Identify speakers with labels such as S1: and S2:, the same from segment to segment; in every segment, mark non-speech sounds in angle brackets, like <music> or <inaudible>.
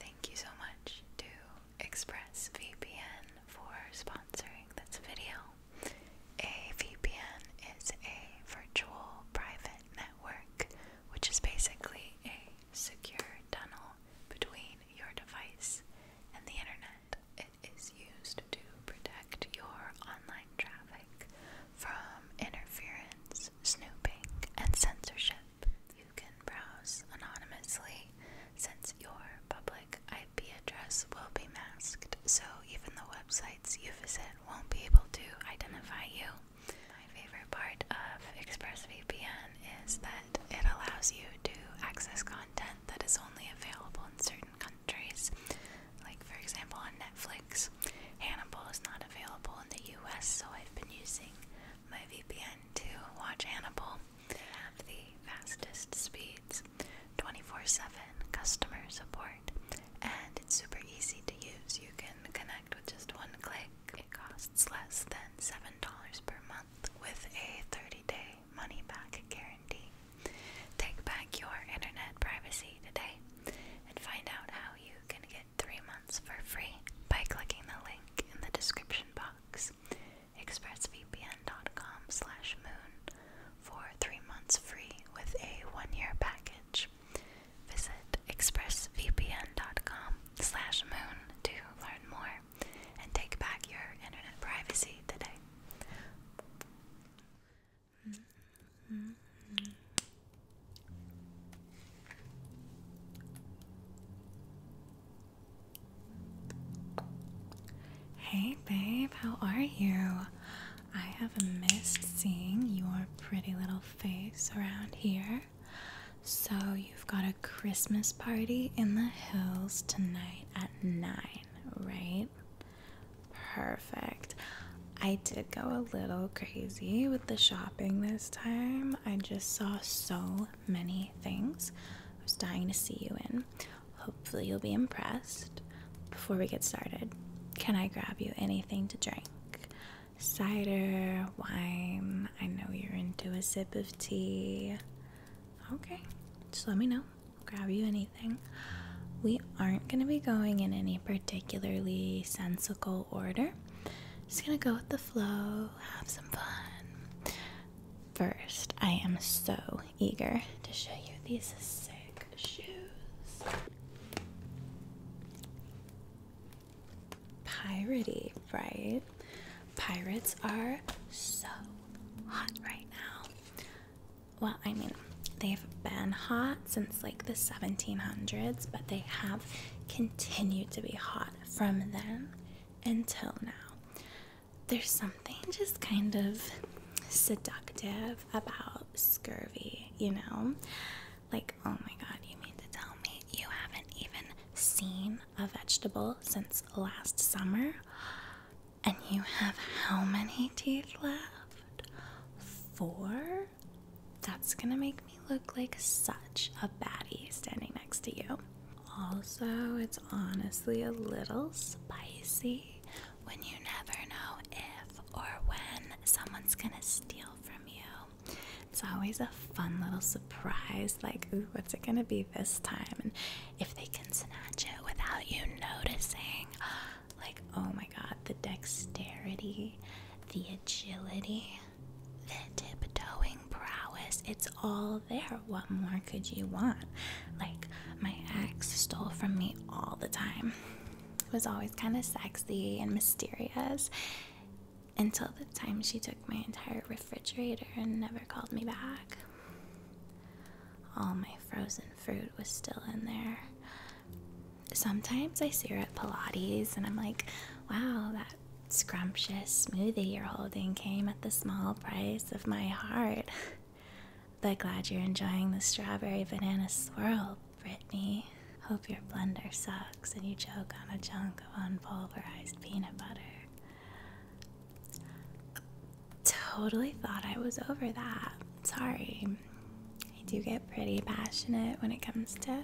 S1: Thank you so much to ExpressVPN for sponsoring this video. A VPN is a virtual private network, which is basically a secure tunnel between your device and the internet. It is used to protect your online traffic from interference, snooping, and censorship you can browse anonymously since your public IP address will be masked, so even the websites you visit won't be able to identify you. My favorite part of ExpressVPN is that it allows you to access content that is only available in certain countries. Like, for example, on Netflix, Hannibal is not available in the US, so I've been using my VPN to watch Hannibal. have the fastest speeds, 24-7 customer support, and it's super easy to use. You can connect with just one click. It costs less than $7 per month with a 30-day money-back guarantee. Take back your internet privacy today and find out how you can get three months for free by clicking the link in the description box. ExpressVPN.com slash moon for three months free with a one-year package. Visit expressvpn.com slash moon to learn more and take back your internet privacy today. Hey babe, how are you? I have missed seeing your pretty little face around here. So, you've got a Christmas party in the hills tonight at 9, right? Perfect. I did go a little crazy with the shopping this time. I just saw so many things I was dying to see you in. Hopefully, you'll be impressed. Before we get started, can I grab you anything to drink? Cider, wine. I know you're into a sip of tea. Okay, just let me know. grab you anything. We aren't going to be going in any particularly sensical order. Just gonna go with the flow, have some fun. First, I am so eager to show you these sick shoes. Piratey, right? Pirates are so hot right now. Well, I mean, they've been hot since like the 1700s, but they have continued to be hot from then until now. There's something just kind of seductive about scurvy, you know? Like, oh my god, you mean to tell me you haven't even seen a vegetable since last summer? And you have how many teeth left? Four? That's gonna make me look like such a baddie standing next to you. Also, it's honestly a little spicy when you never know if or when someone's gonna steal from you. It's always a fun little surprise, like, ooh, what's it gonna be this time? And if they can snatch it without you noticing, <gasps> like, oh my god, the dexterity, the agility, the tiptoeing prowess, it's all there. What more could you want? Like, my ex stole from me all the time. It was always kind of sexy and mysterious until the time she took my entire refrigerator and never called me back. All my frozen fruit was still in there. Sometimes I see her at Pilates and I'm like, wow, that scrumptious smoothie you're holding came at the small price of my heart. but glad you're enjoying the strawberry banana swirl, Brittany. Hope your blender sucks and you choke on a chunk of unpulverized peanut butter. Totally thought I was over that. Sorry. I do get pretty passionate when it comes to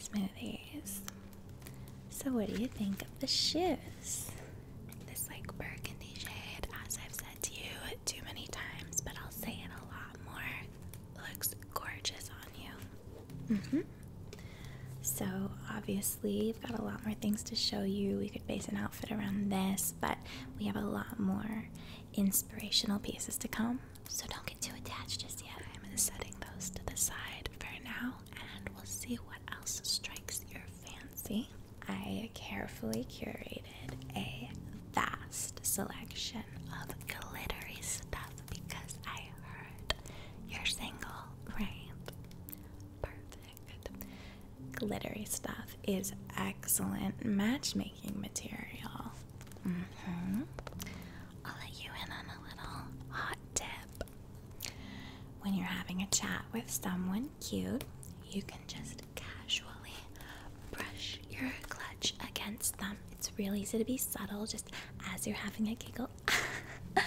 S1: smoothies. So, what do you think of the shoes? This like burgundy shade, as I've said to you too many times, but I'll say it a lot more. Looks gorgeous on you. hmm So obviously, we've got a lot more things to show you. We could base an outfit around this, but we have a lot more inspirational pieces to come. So don't get too attached just yet. I'm setting those to the side for now and we'll see what else strikes your fancy. I carefully curated a vast selection of glittery stuff because I heard you're single, right? Perfect. Glittery stuff is excellent matchmaking material. Mm-hmm. I'll let you in on a little hot tip. When you're having a chat with someone cute, you can just casually brush your clutch against them. It's really easy to be subtle just as you're having a giggle. <laughs>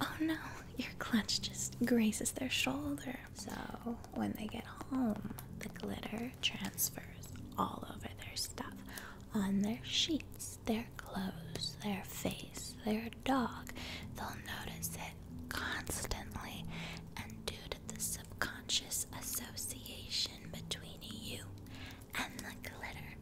S1: oh no, your clutch just grazes their shoulder. So when they get home, the glitter transfers all over their stuff on their sheets, their their clothes, their face, their dog, they'll notice it constantly. And due to the subconscious association between you and the glitter,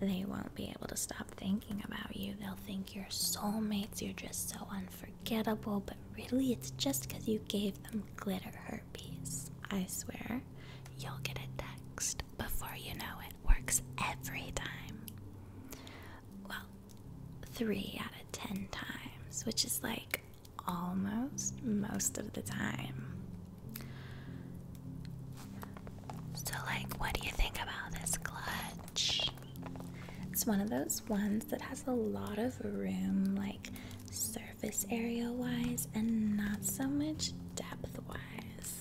S1: they won't be able to stop thinking about you. They'll think you're soulmates, you're just so unforgettable, but really it's just because you gave them glitter herpes. I swear, you'll get a text before you know it works every time. Well, three out of ten times, which is like almost most of the time. So, like, what do you think about this clutch? It's one of those ones that has a lot of room, like surface area wise, and not so much depth wise.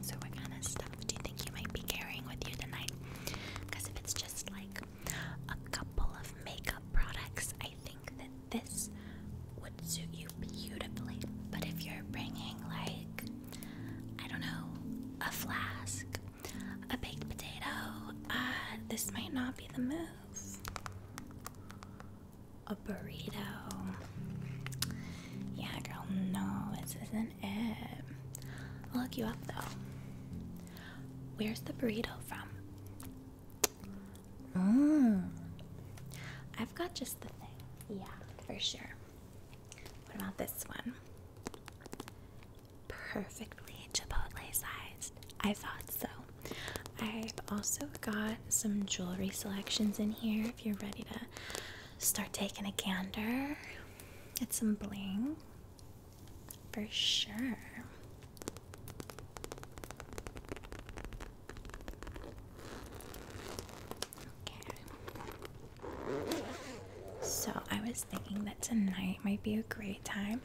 S1: So, what kind of stuff do you think you might be carrying with you tonight? Because if it's just like a couple of makeup products, I think that this would suit you beautifully. But if you're bringing, like, I don't know, a flask, a baked potato, uh, this might not be the move. A burrito. Yeah, girl, no, this isn't it. look you up though. Where's the burrito from? Mm. I've got just the thing. Yeah, for sure. What about this one? Perfectly Chipotle sized. I thought so. I've also got some jewelry selections in here if you're ready to start taking a gander get some bling for sure. Okay. So I was thinking that tonight might be a great time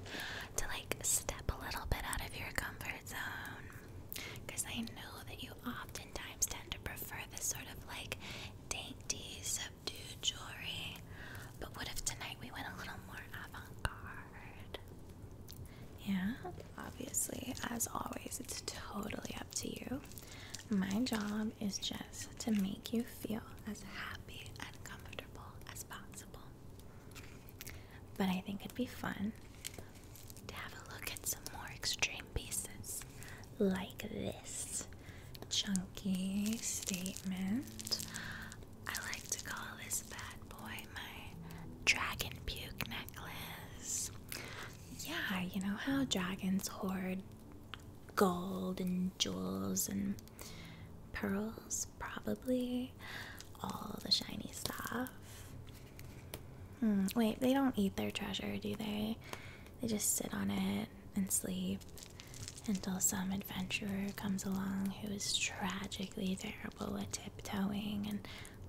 S1: to like step a little bit out of your comfort zone because I know that you you oftentimes tend to prefer this sort of like dainty, subdued jewelry. But what if tonight we went a little more avant garde? Yeah, obviously, as always, it's totally up to you. My job is just to make you feel as happy and comfortable as possible. But I think it'd be fun to have a look at some more extreme pieces like this chunky statement. I like to call this bad boy my dragon puke necklace. Yeah, you know how dragons hoard gold and jewels and pearls, probably all the shiny stuff. Hmm, wait, they don't eat their treasure, do they? They just sit on it and sleep until some adventurer comes along who is tragically terrible at tiptoeing and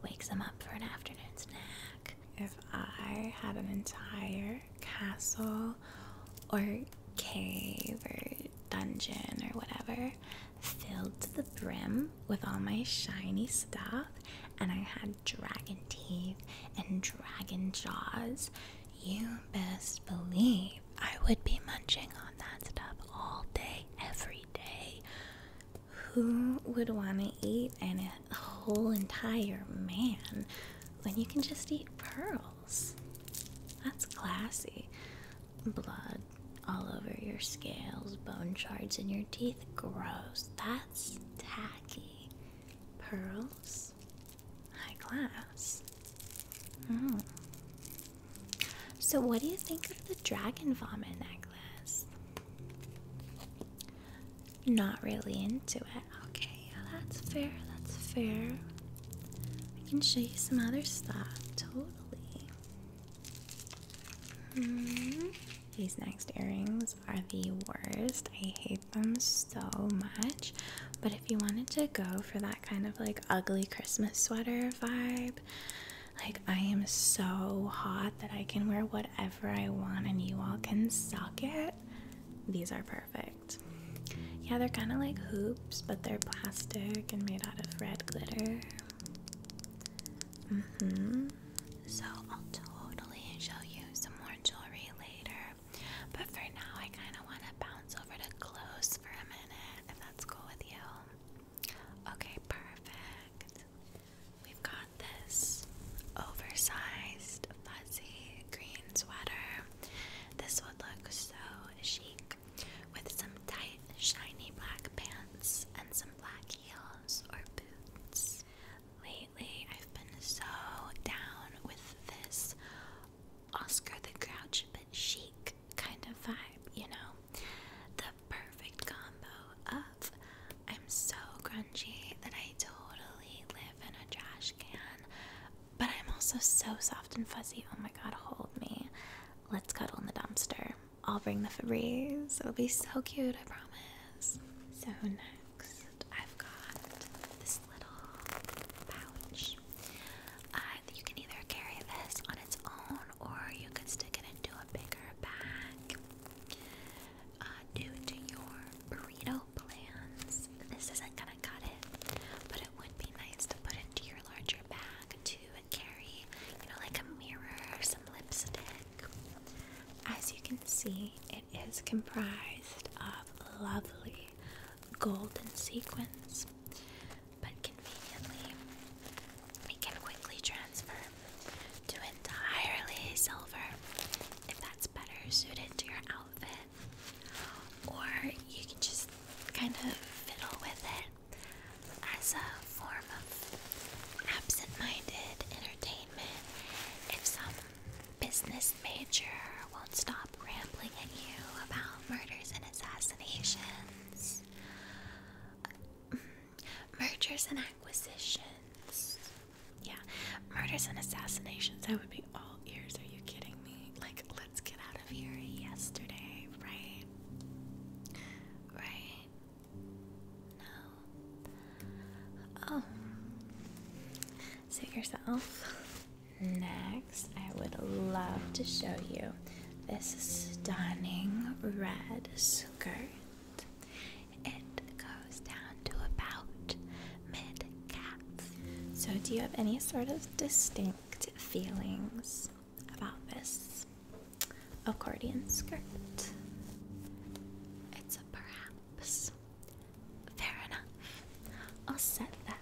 S1: wakes them up for an afternoon snack. If I had an entire castle or cave or dungeon or whatever filled to the brim with all my shiny stuff and I had dragon teeth and dragon jaws, you best believe I would be munching on that stuff all day, every day. Who would want to eat an, a whole entire man when you can just eat pearls? That's classy. Blood all over your scales, bone shards in your teeth. Gross. That's tacky. Pearls? High class. Hmm. So, what do you think of the dragon vomit necklace? Not really into it. Okay, yeah, that's fair, that's fair. I can show you some other stuff, totally. Hmm. These next earrings are the worst. I hate them so much. But if you wanted to go for that kind of like ugly Christmas sweater vibe, like I am so hot that I can wear whatever I want and you all can suck it, these are perfect. Yeah, they're kind of like hoops, but they're plastic and made out of red glitter. Mm-hmm. So I'll totally show you some more jewelry later. But for now, I kind of want to bounce over to clothes for a minute, if that's cool with you. Okay, perfect. We've got this oversized, fuzzy green sweater. This would look so chic with some tight, shiny black pants and some black heels or boots lately I've been so down with this Oscar the Grouch but chic kind of vibe, you know? The perfect combo of I'm so grungy that I totally live in a trash can, but I'm also so soft and fuzzy. Oh my god, hold me. Let's cuddle in the dumpster. I'll bring the Febreze. It'll be so cute, I promise. So nice. I've got this little pouch. Uh, you can either carry this on its own or you can stick it into a bigger bag. Uh, due to your burrito plans, this isn't gonna cut it, but it would be nice to put into your larger bag to carry, you know, like a mirror or some lipstick. As you can see, it is comprised of lovely golden sequins, but conveniently, we can quickly transfer to entirely silver if that's better suited to your outfit, or you can just kind of fiddle with it as a form of absent minded entertainment if some business major won't stop rambling at you about murders and assassinations, mergers and acquisitions. Yeah, murders and assassinations. I would be all ears. Are you kidding me? Like, let's get out of here yesterday, right? Right? No. Oh. See yourself. Next, I would love to show you this stunning red skirt. It goes down to about mid calf. So, do you have any sort of distinct feelings about this accordion skirt? It's perhaps Fair enough. I'll set that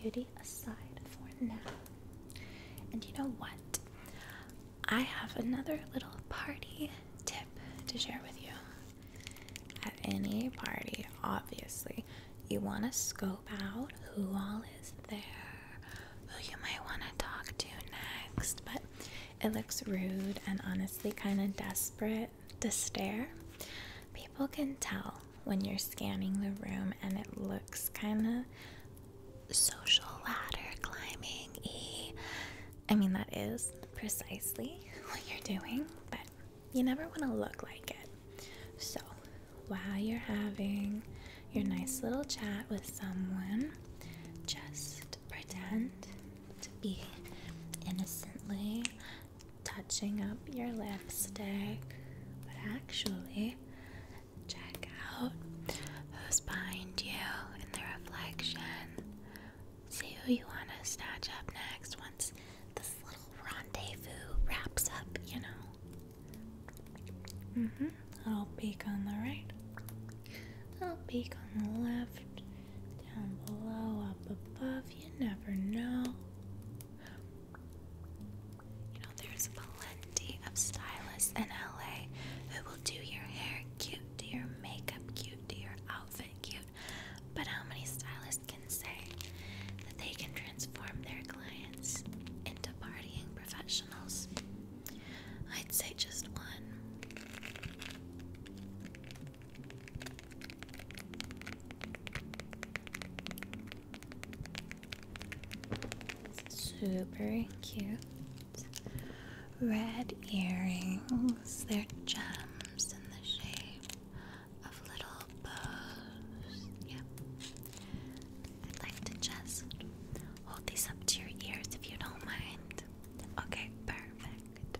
S1: beauty aside for now. And you know what? I have another little party tip to share with you. At any party, obviously, you want to scope out who all is there, who you might want to talk to next, but it looks rude and honestly kind of desperate to stare. People can tell when you're scanning the room and it looks kind of social ladder climbing I mean, that is precisely what you're doing, but you never want to look like it. So, while you're having your nice little chat with someone, just pretend to be innocently touching up your lipstick, but actually, check out who's behind you in the reflection. See who you want to snatch up next once this little rendezvous wraps up, you know. Mm hmm. Little peek on the right, little peek on the left, down below, up above love, you never know. You know, there's plenty of stylists in LA who will do your hair cute, do your makeup cute, do your outfit cute. But how many stylists can say that they can transform their clients into partying professionals? I'd say just one. Super cute. Red earrings. They're gems in the shape of little bows. Yep. I'd like to just hold these up to your ears if you don't mind. Okay, perfect.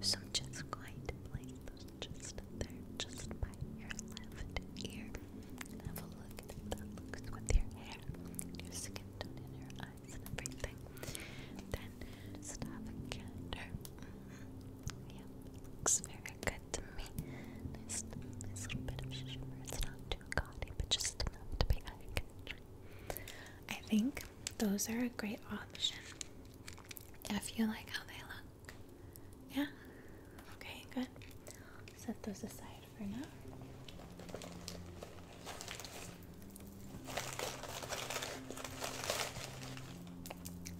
S1: So I'm just going to place just there, just by your left ear. Have a look at that looks with your hair, your skin and your eyes, and everything. Then just have a gander. Yeah, looks very good to me. Nice, nice little bit of shimmer. It's not too gaudy, but just enough to be eye catching. I think those are a great option if you like how they look. Yeah? Okay, good. Set those aside for now.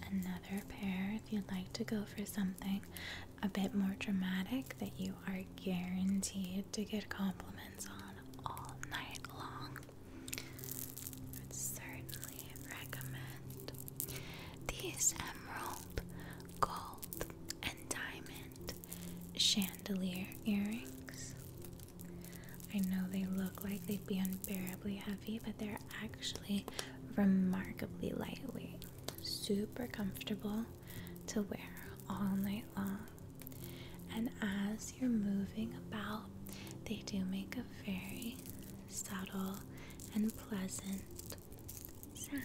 S1: Another pair, if you'd like to go for something a bit more dramatic that you are guaranteed to get compliments on all night long. I would certainly recommend these emerald, gold, and diamond chandelier earrings. I know they look like they'd be unbearably heavy, but they're actually remarkably lightweight, super comfortable to wear all night long. And as you're moving about, they do make a very subtle, and pleasant sound.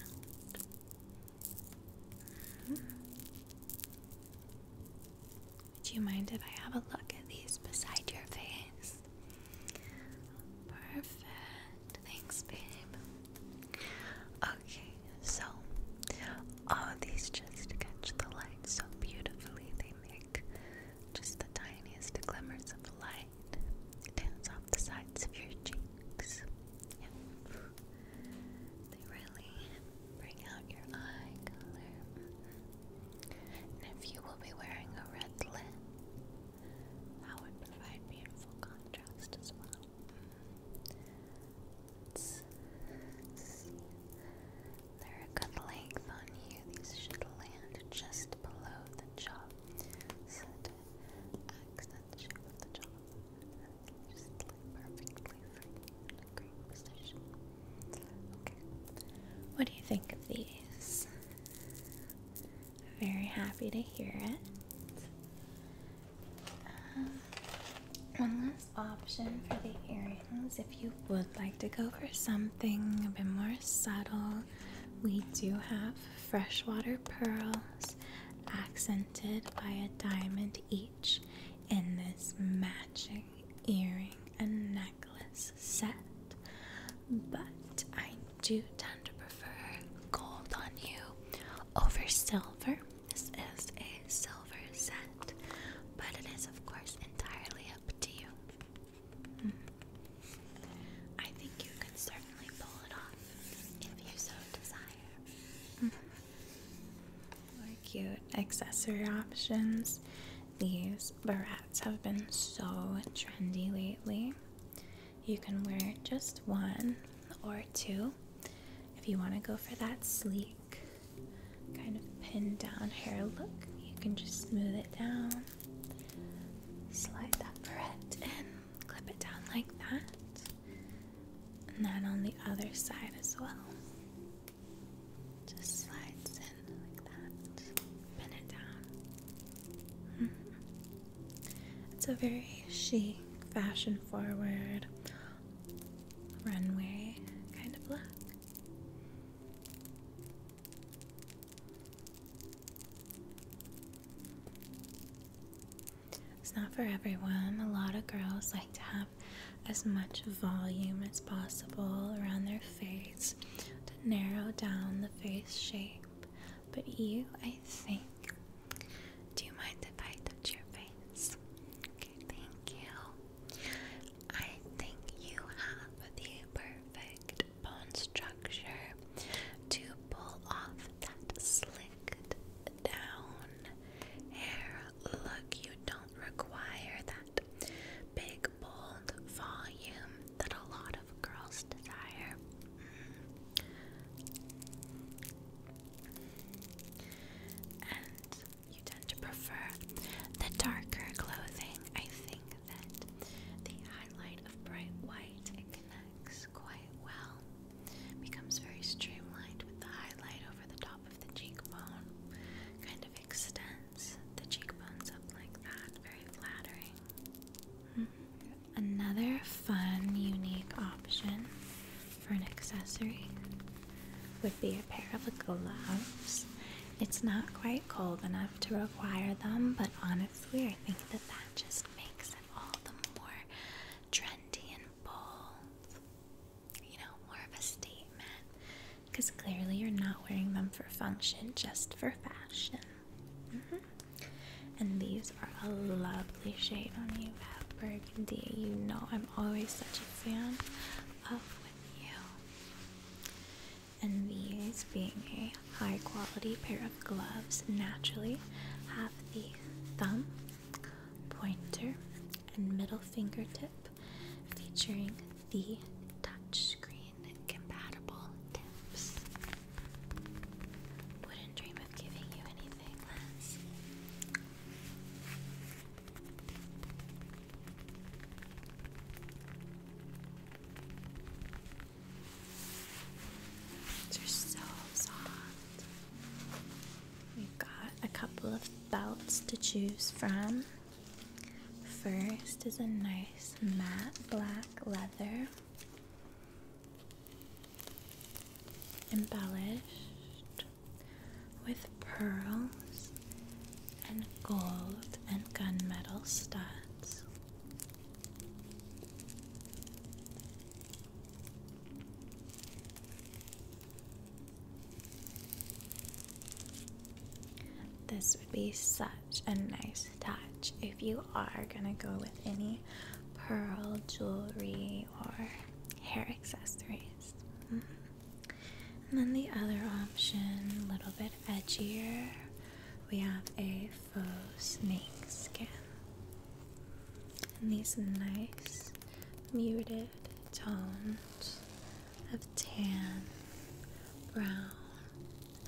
S1: Would you mind if I have a look at these beside your face? Perfect. Thanks, babe. Okay, so all these just catch the light so beautifully. They make just the tiniest glimmers of light dance off the sides of your cheeks. They really bring out your eye color. And if you will be wearing a red lip, that would provide beautiful contrast as well. Mm. They're a good length on you. These should land just below the jaw. So the jaw, just like perfectly for in a great position. Okay. What do you think of these? Very happy to hear it. Um, one last option for the earrings, if you would like to go for something a bit more subtle, we do have freshwater pearls accented by a diamond each in this matching earring and necklace set. But I do tend to prefer gold on you over silver. This is a silver set, but it is, of course, entirely up to you. Mm. cute accessory options. These barrettes have been so trendy lately. You can wear just one or two if you want to go for that sleek kind of pinned down hair look. You can just smooth it down Slide that barrette in, clip it down like that, and then on the other side as well. Just slides in like that, pin it down. Mm-hmm. It's a very chic, fashion forward runway kind of look. It's not for everyone. A lot of girls like to have as much volume as possible around their face to narrow down the face shape. But you, I think. Do you mind if I touch your face? thank you. I think you have the perfect bone structure to pull off that slicked down hair look. You don't require that big, bold volume that a lot of girls desire. Mm. And you tend to prefer the darker clothing, I think, that the highlight of bright white it connects quite well. Becomes very streamlined with the highlight over the top of the cheekbone. Kind of extends the cheekbones up like that. Very flattering. Hmm. Another fun, unique option for an accessory would be a pair of gloves. It's not quite cold enough to require them, but honestly, I think that that just makes it all the more trendy and bold. You know, more of a statement. Because clearly, you're not wearing them for function, just for fashion. Mm-hmm. And these are a lovely shade on you, Val Burgundy. You know, I'm always such a fan of with you and these being a high quality pair of gloves naturally have the thumb, pointer, and middle fingertip featuring the touchscreen compatible tips. They're so soft. We've got a couple of belts to choose from. First is a nice matte black leather, embellished with pearls and gold and gunmetal studs. This would be such a nice touch if you are going to go with any pearl jewelry or hair accessories. Mm-hmm. And then the other option, a little bit edgier. We have a faux snake skin. And these nice muted tones of tan, brown,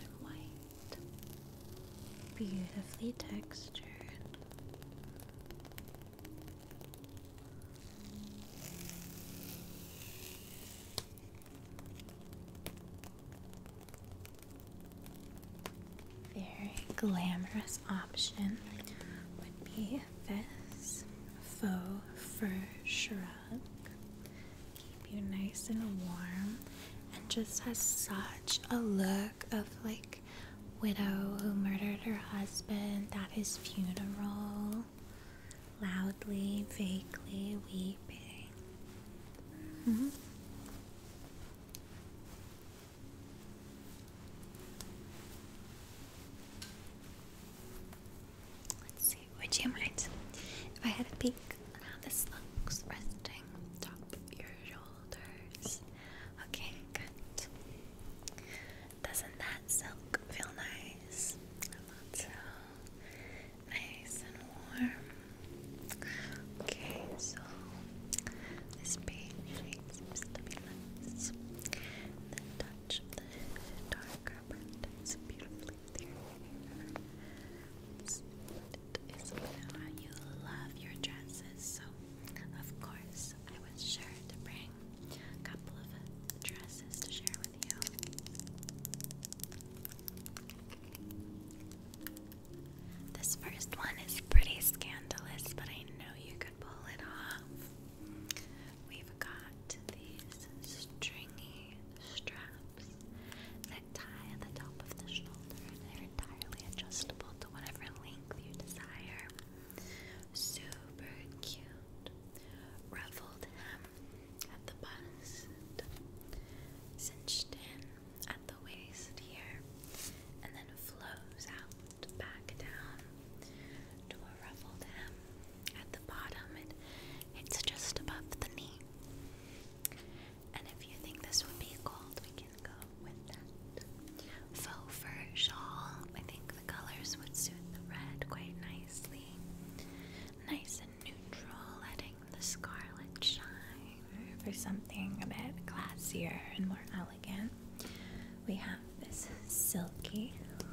S1: and white. Beautifully textured. Very glamorous option would be this faux fur shrug. Keep you nice and warm and just has such a look of like widow who murdered her husband at his funeral, loudly, vaguely weeping. Okay. Mm -hmm. Let's see. Would you if I had a peek at how this looks resting top of your shoulders? Okay, good. Doesn't that silk feel nice? so nice and warm. Okay, so this page needs to be nice. The touch the dark rubber ties beautifully through you love your dresses, so of course I was sure to bring a couple of dresses to share with you. This first one is pretty scandalous, but I know you could pull it off. We've got these stringy straps that tie at the top of the shoulder, and they're entirely adjustable to whatever length you desire. Super cute. Ruffled hem at the bust, cinched in at the waist here and then flows out back down to a ruffled hem at the bottom. It, it's just above the knee. And if you think this would be gold, we can go with that. Faux fur shawl. I think the colors would suit the red quite nicely. Nice neutral, letting the scarlet shine. For something a bit classier and more elegant, we have this silky,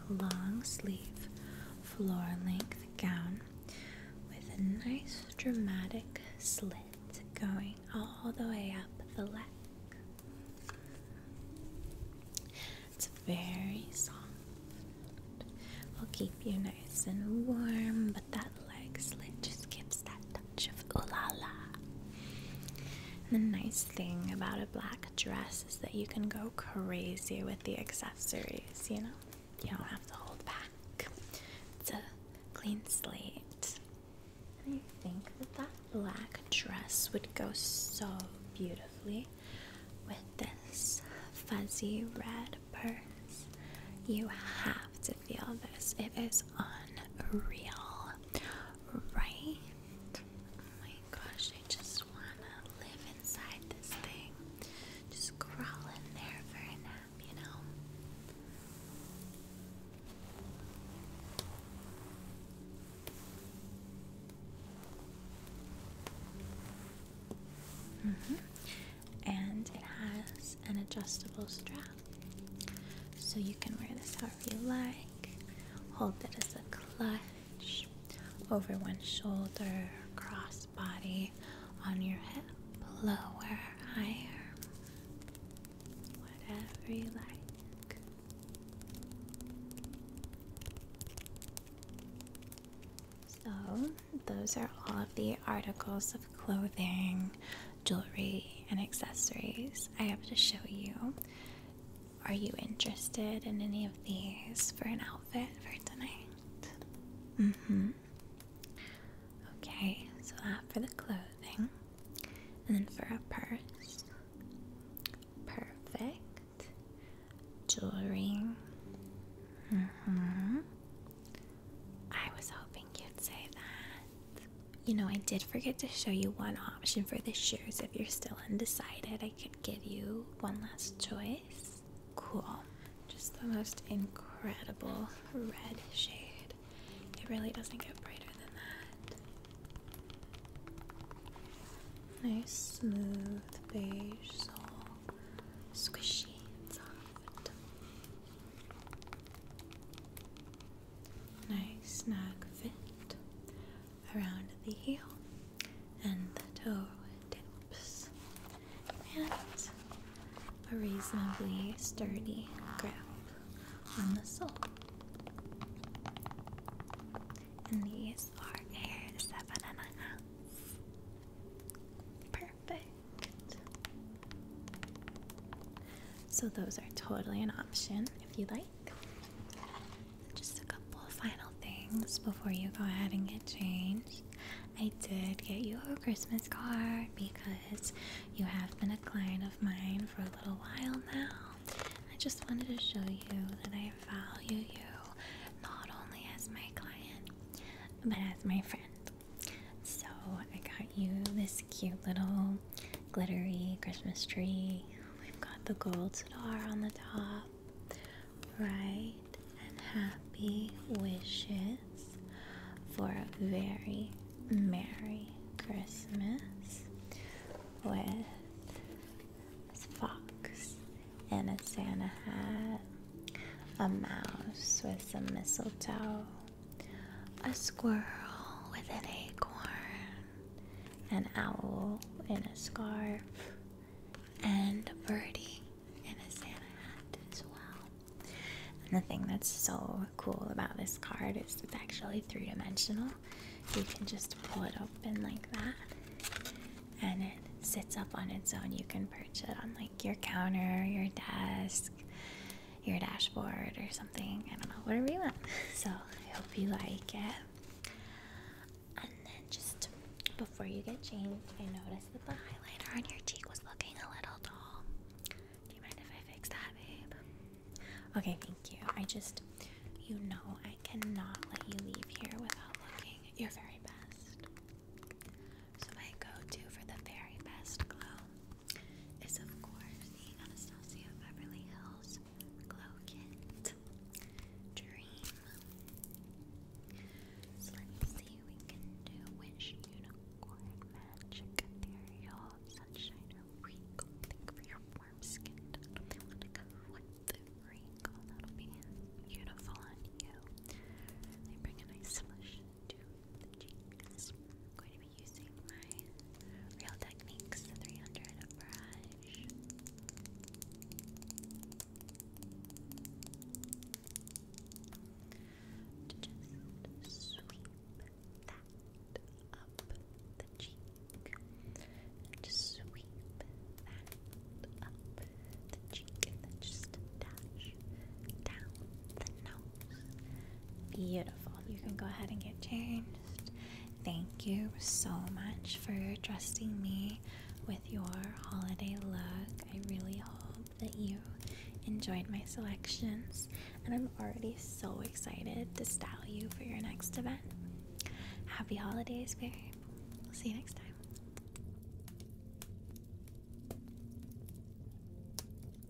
S1: long sleeve, floor length gown with a nice dramatic slit going all the way up the leg. It's very soft. Will keep you and warm, but that leg slit just gives that touch of ooh la la. The nice thing about a black dress is that you can go crazy with the accessories, you know? You don't have to hold back. It's a clean slate. And I think that that black dress would go so beautifully with this fuzzy red you have to feel this. It is unreal. Right? Oh my gosh, I just wanna live inside this thing. Just crawl in there for a nap, you know? Mm -hmm and it has an adjustable strap. So you can wear this however you like, hold it as a clutch over one shoulder, cross body, on your hip, lower, higher, whatever you like. So, those are all of the articles of clothing, jewelry, and accessories I have to show you. Are you interested in any of these for an outfit for tonight? Mm hmm. Okay, so that for the clothing. And then for a purse. Perfect. Jewelry. Mm hmm. I was hoping you'd say that. You know, I did forget to show you one option for the shoes. If you're still undecided, I could give you one last choice. Cool. Just the most incredible red shade. It really doesn't get brighter than that. Nice, smooth, beige sole. Squishy and soft. Nice snug fit around the heel and the toe tips, and a reasonably sturdy grip on the sole. And these are air seven and a half. Perfect. So, those are totally an option if you like. Just a couple of final things before you go ahead and get changed. I did get you a Christmas card because you have been a client of mine for a little while now. I just wanted to show you that I value you not only as my client, but as my friend. So I got you this cute little glittery Christmas tree. We've got the gold star on the top. Right and happy wishes for a very merry Christmas with this fox and a Santa hat a mouse with some mistletoe, a squirrel with an acorn, an owl in a scarf, and a birdie in a Santa hat as well. And the thing that's so cool about this card is it's actually three dimensional. You can just pull it open like that and it sits up on its own. You can perch it on like your counter, your desk, your dashboard or something. I don't know, whatever you want. So I hope you like it. And then just before you get changed, I noticed that the highlighter on your cheek was looking a little dull. Do you mind if I fix that, babe? Okay, thank you. I just, you know, I cannot let you leave here without looking your very best. So my go-to for the very best glow is of course the Anastasia Beverly Hills Glow Kit Dream. So let's see we can do which unicorn magic ethereal sunshiner wrinkle thing for your warm skin. They want to go with the wrinkle that'll be beautiful on you. They bring a nice solution to I'm going to be using my Real Techniques 300 brush. To just sweep that up the cheek. And just sweep that up the cheek. And just dash down the nose. Beautiful. You can go ahead and get changed. Thank you so much for trusting me with your holiday look. I really hope that you enjoyed my selections, and I'm already so excited to style you for your next event. Happy holidays, babe. We'll see you next time.